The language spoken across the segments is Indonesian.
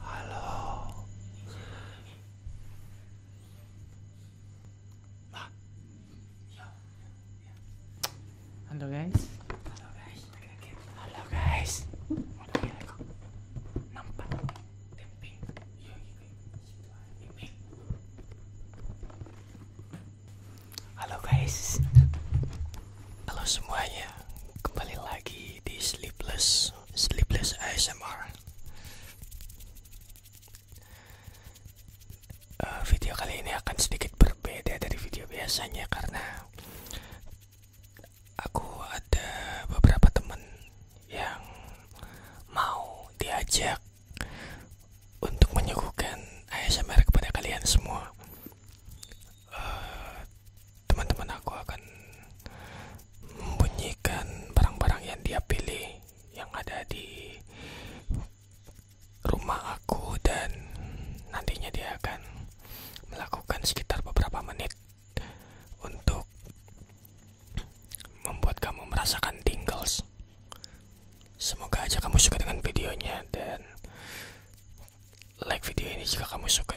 Halo. Halo guys. Halo guys. Halo guys. Nampak iya, iya, iya. Halo guys. Halo semuanya. Kembali lagi di Sleepless Sleepless ASMR eh, Video kali ini akan sedikit berbeda dari video biasanya Karena Aku ada beberapa teman Yang Mau diajak Untuk menyuguhkan ASMR kepada kalian semua Eh, teman-teman aku akan membunyikan barang-barang yang dia pilih yang ada di rumah aku dan nantinya dia akan melakukan sekitar beberapa menit untuk membuat kamu merasakan tingles. Semoga aja kamu suka dengan videonya dan like video ini jika kamu suka.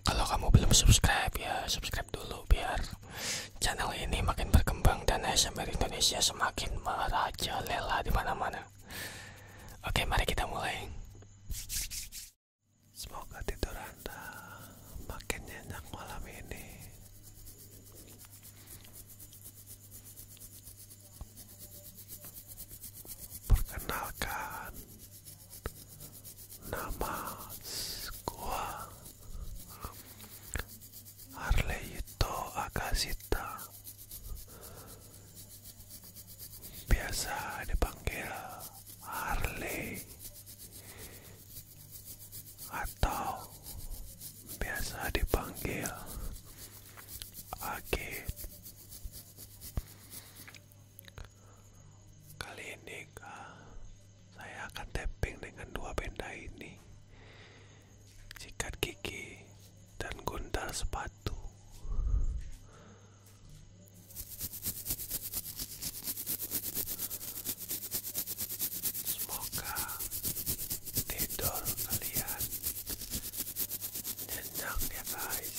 Kalau kamu belum subscribe ya subscribe dulu biar channel ini makin berkembang dan ASMR Indonesia semakin merajalela di mana-mana. Oke, mari kita mulai. Semoga tidur Anda makin nyenyak malam ini. Perkenalkan, Nama Namaskar. Arleito Akasita Biasa dipanggil Harley Atau biasa dipanggil Agit Kali ini saya akan tapping dengan dua benda ini. Sikat gigi dan guntal sepatu. Semoga tidur kalian nyenyak ya guys.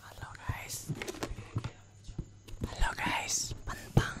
Hello guys. Hello guys. Pantang.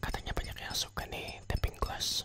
Katanya banyak yang suka nih tapping glass.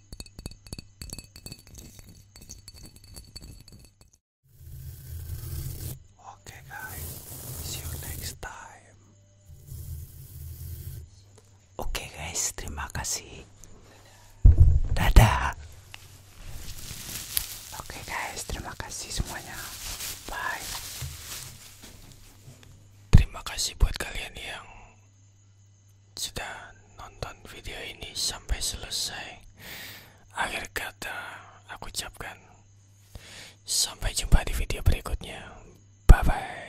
Okay, guys, see you next time. Oke, guys, terima kasih. Dadah. Oke, guys, terima kasih semuanya. Bye. Terima kasih buat kalian yang sudah nonton video ini sampai selesai. Akhir kata, aku ucapkan sampai jumpa di video berikutnya. Ya? Bye bye.